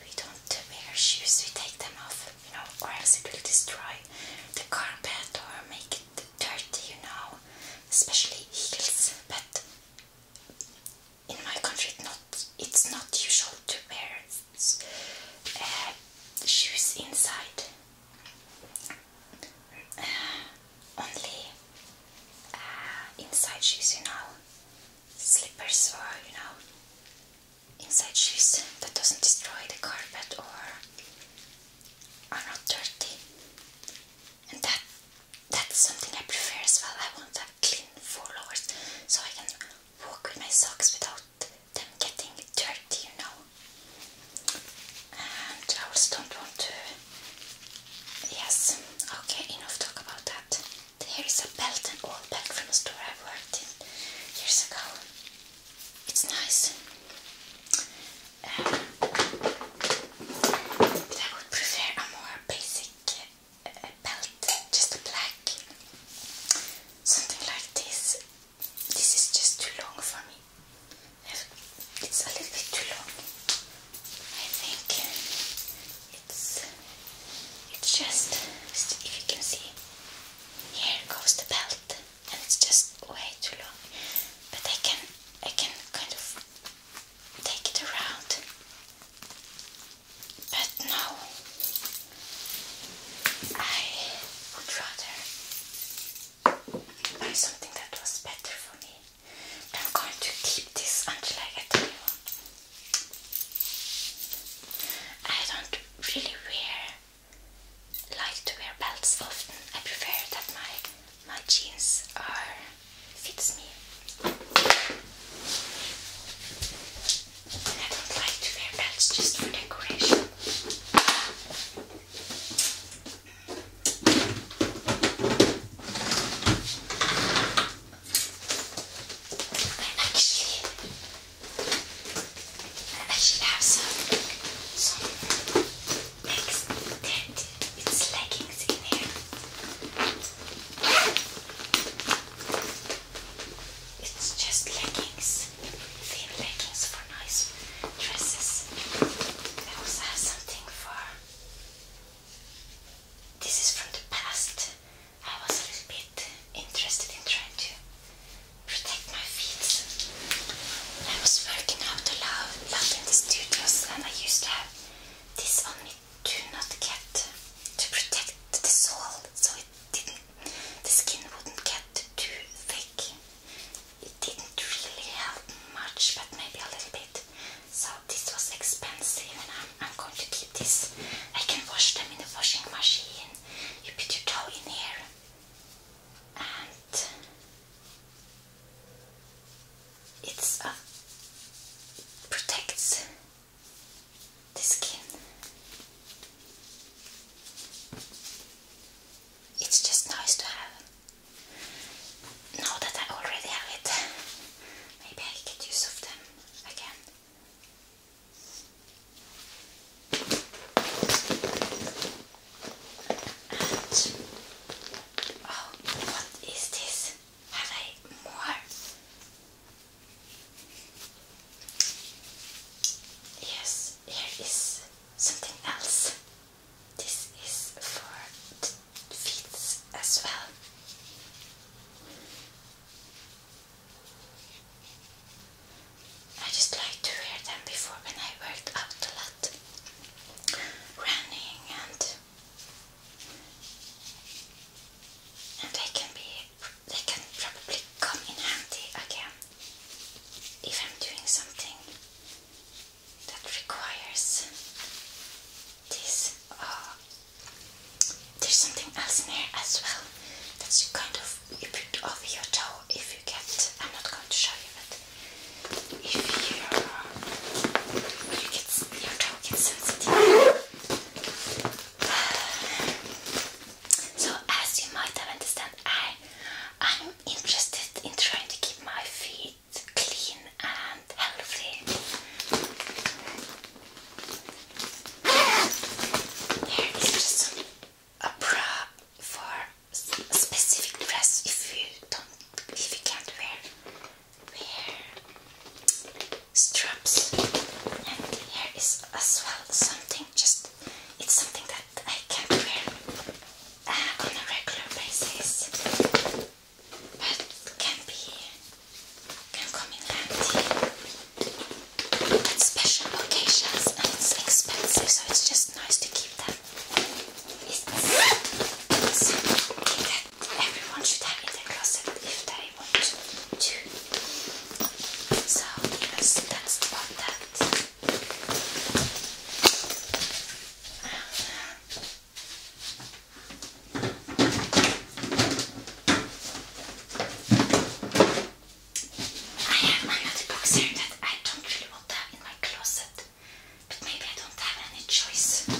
S1: We don't wear shoes, we take them off, you know, or else it will destroy the carpet or make it dirty, you know, especially heels. But in my country, it's not, it's not usual to wear uh, shoes inside. Uh, only uh, inside shoes, you know, slippers or you know, inside shoes that doesn't destroy the carpet or are not dirty. And that that's something I prefer as well. I want to clean floors so I can walk with my socks without them getting dirty, you know. And I also don't want to Yes, okay, enough talk about that. There is a belt, and old back from a store I worked in years ago. It's nice. Um, but I would prefer a more basic uh, belt, just a black. Something like this. This is just too long for me. It's a little bit too long. I think it's it's just if you can see here goes the belt and it's just way too long but I can I can kind of take it around but no I would rather buy something that was better for me I'm going to keep this until I get one. I don't really wear like to wear belts often. I prefer that my my jeans are fits me. I don't like to wear belts just for decoration. I actually, I actually have some, some extended it's leggings in here. It's just leggings, thin leggings for nice dresses. I also have something for this is from the past. I was a little bit interested in trying to protect my feet. I was working out a lot, lot in the studios and I used to have this on me to not get to protect the sole so it didn't the skin wouldn't get too thick. It didn't really help much but maybe a little bit. So this was expensive and I'm, going to keep this. I can wash them in the washing machine. You put your towel in here and it's uh, protects the skin. It's just nice to have. Now that I already have it, Maybe I get use of them again. And oh, what is this? Have I more? Yes, here is something else. This is for feet as well. I just like to wear them before when I worked out a lot, running and and they can be they can probably come in handy again if I'm doing something that requires this. Uh, there's something else in here as well that's you kind of you put over your toe if you get. I'm not going to show you, but if you when you get your toe gets sensitive. So as you might have understand, I I'm interested in trying to keep my feet it's clean and healthy. There is just a bra for specific dress if you don't, if you can't wear, straps. And here is as well something just, it's something that I can wear uh, on a regular basis but can be can come in handy at special occasions and it's expensive so it's just nice to keep them. everyone should have in their closet if they want to. So that's about that have another box here that I don't really want to in my closet, but maybe I don't have any choice.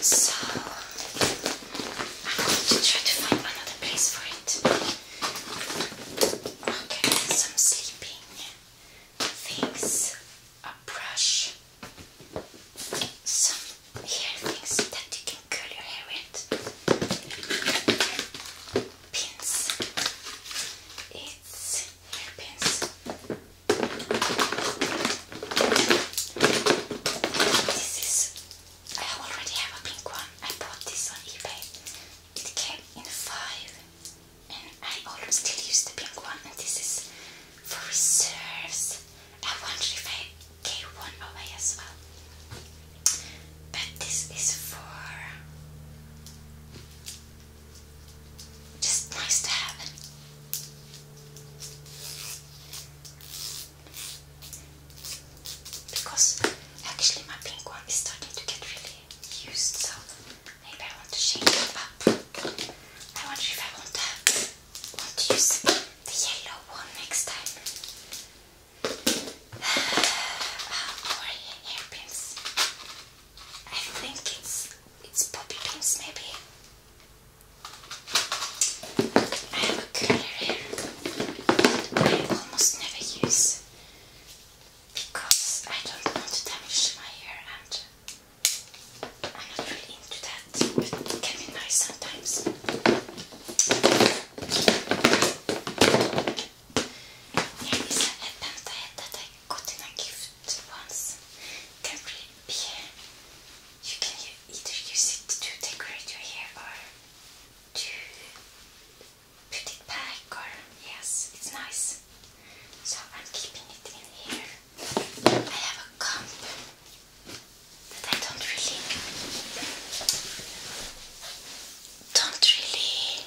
S1: So I'm going to try to find another place for it. Okay, some sleeping things, a brush, some hair things that you can curl your hair with. Pins. It's hair pins. This is. I already have a pink one. I bought this on eBay. It came in five and I always still use the pink one and this is for reserves. I wonder if I gave one away as well. But this is for just nice to have Because actually my pink one is starting to get really used so Maybe I want to shake it up. I wonder if I want to, want to use the yellow one next time. Uh, ah, or hairpins. I think it's it's poppy pins maybe. I have a curler here that I almost never use because I don't want to damage my hair I'm not really into that, but it can be nice sometimes. Yeah, a headband that I got in a gift once. It You can either use it to decorate your hair or to put it back or yes, it's nice. So I'm keeping it in here. I have a cup that I don't really, don't really.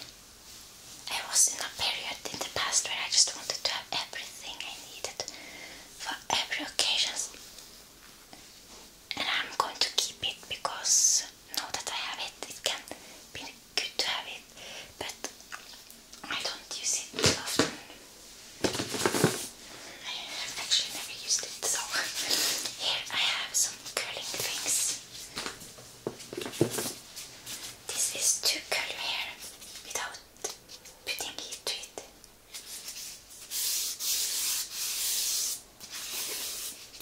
S1: I was in a period in the past where I just wanted to have everything I needed for every occasion, and I'm going to keep it because now that I have it, it can be good to have it, but I don't use it often. I have actually never used it, so here I have some curling things. This is to curl your hair without putting heat to it.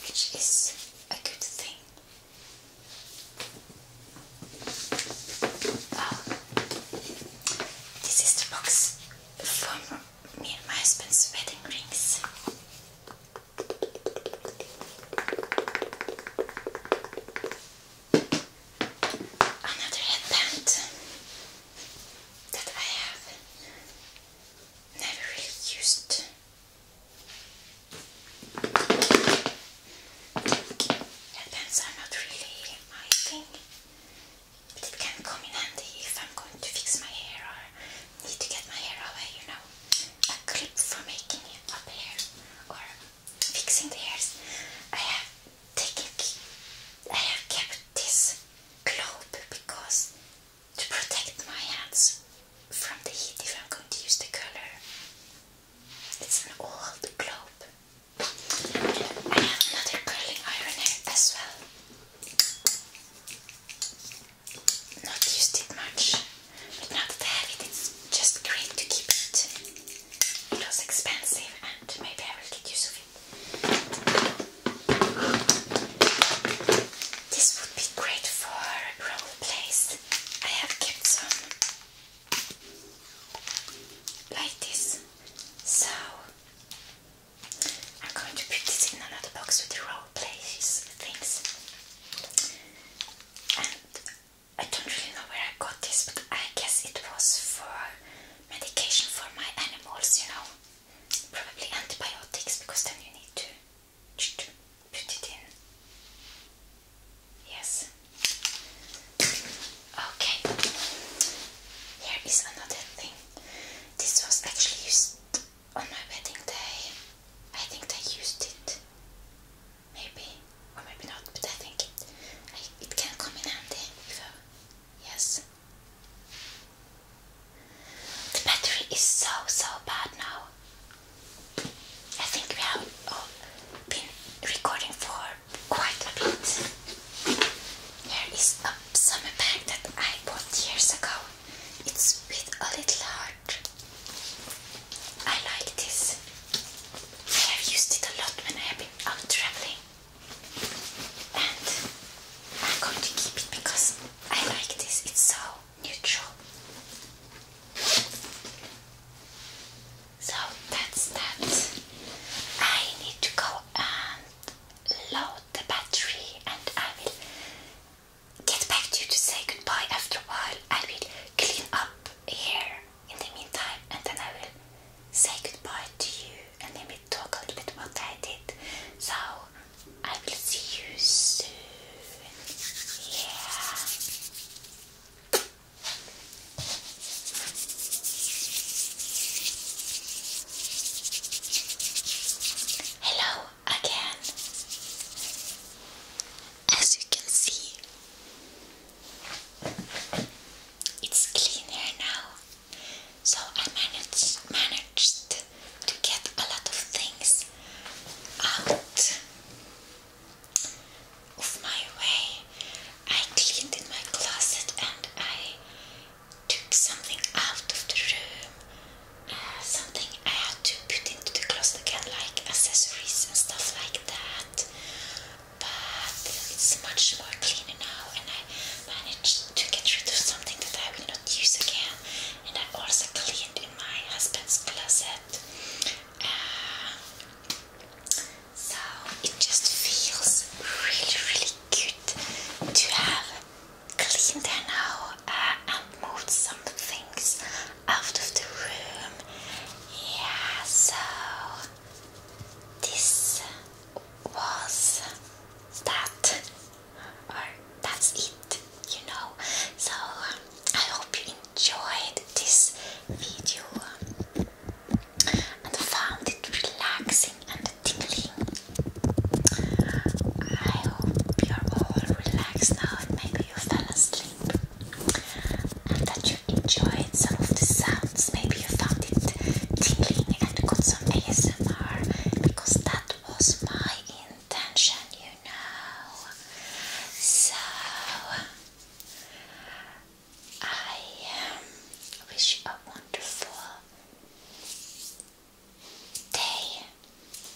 S1: Which is a good thing. Oh. This is the box for me and my husband's wedding rings. Another headband that I have never really used. Headbands are not really my thing, but it can come in handy if I'm going to fix my hair or need to get my hair away, you know. A clip for making up hair or fixing the hairs. I have kept this globe because to protect my hands from the heat if I'm going to use the color. It's an old globe. I have another curling iron here as well. Not used it much, but now that it's just great to keep it. It was expensive, and maybe I will get use of it. This would be great for role plays. I have kept some like this. So I'm going to put this in another box with the raw places things. And I don't really know where I got this, but I guess it was for medication for my animals, you know. Probably antibiotics because then you need to put it in Yes. Okay. Here is another thing. This was actually used on my wedding day. I think they used it. Maybe. Or maybe not, but I think it, I, it can come in handy. Uh, yes. The battery is so, so bad now. I think we have been recording for quite a bit. Here is a summer bag that I bought years ago. It's with a little heart. I like this. I have used it a lot when I have been out traveling. And I'm going to keep it because I like this. It's so neutral. So that's that. I need to go and load the battery and I will get back to you to say goodbye after a while. I will clean up here in the meantime and then I will say goodbye to you and then we talk a little bit about what I did. So I will see you soon. Yeah. Hello again. As you can see, it's clean now. So I managed managed to get a lot of things out of my way. I cleaned in my closet and I took something out of the room. Uh, something I had to put into the closet again, like accessories and stuff like that. But it's much more cleaner now, and I managed to get rid of something that I will not use again. And I also cleaned in my husband's closet. Uh, so it just feels really, really good to have cleaned there now uh, and moved some things out of the room. Yeah, so this was that, or that's it, you know. So I hope you enjoyed this video and found it relaxing and tingling. I hope you're all relaxed now and maybe you fell asleep and that you enjoyed some of the sounds. Maybe you found it tingling and got some ASMR because that was my intention, you know. So, I um, wish you a wonderful day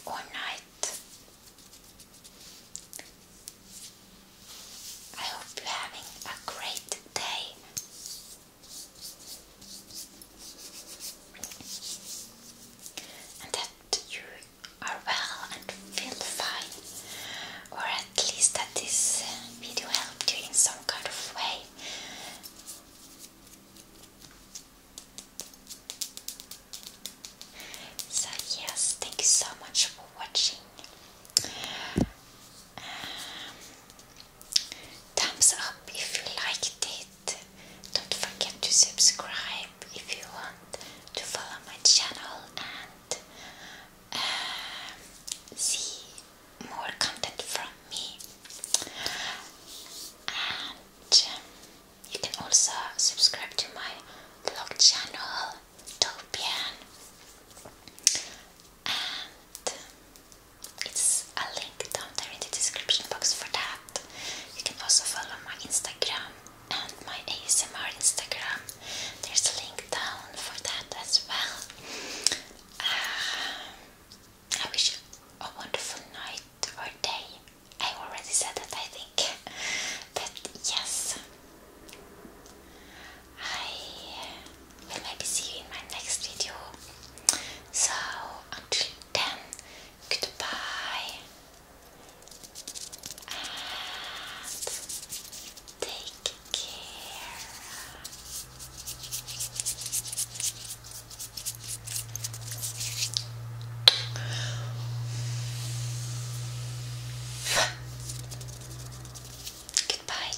S1: or night. I hope you're having a great day. And that you are well and feel fine, at least that this uh, video helped you in some kind of way. So yes, thank you so much for watching. Um, thumbs up if you liked it. Don't forget to subscribe if you want to follow my channel and see more content from me and um, you can also subscribe to my blog channel Topian and um, it's a link down there in the description box for that. You can also follow my Instagram and my ASMR Instagram there's a link down for that as well. Uh, I wish a wonderful night or day. I already said that, I think. But yes, I will maybe see you in my next video. So until then, goodbye. Take care. Goodbye.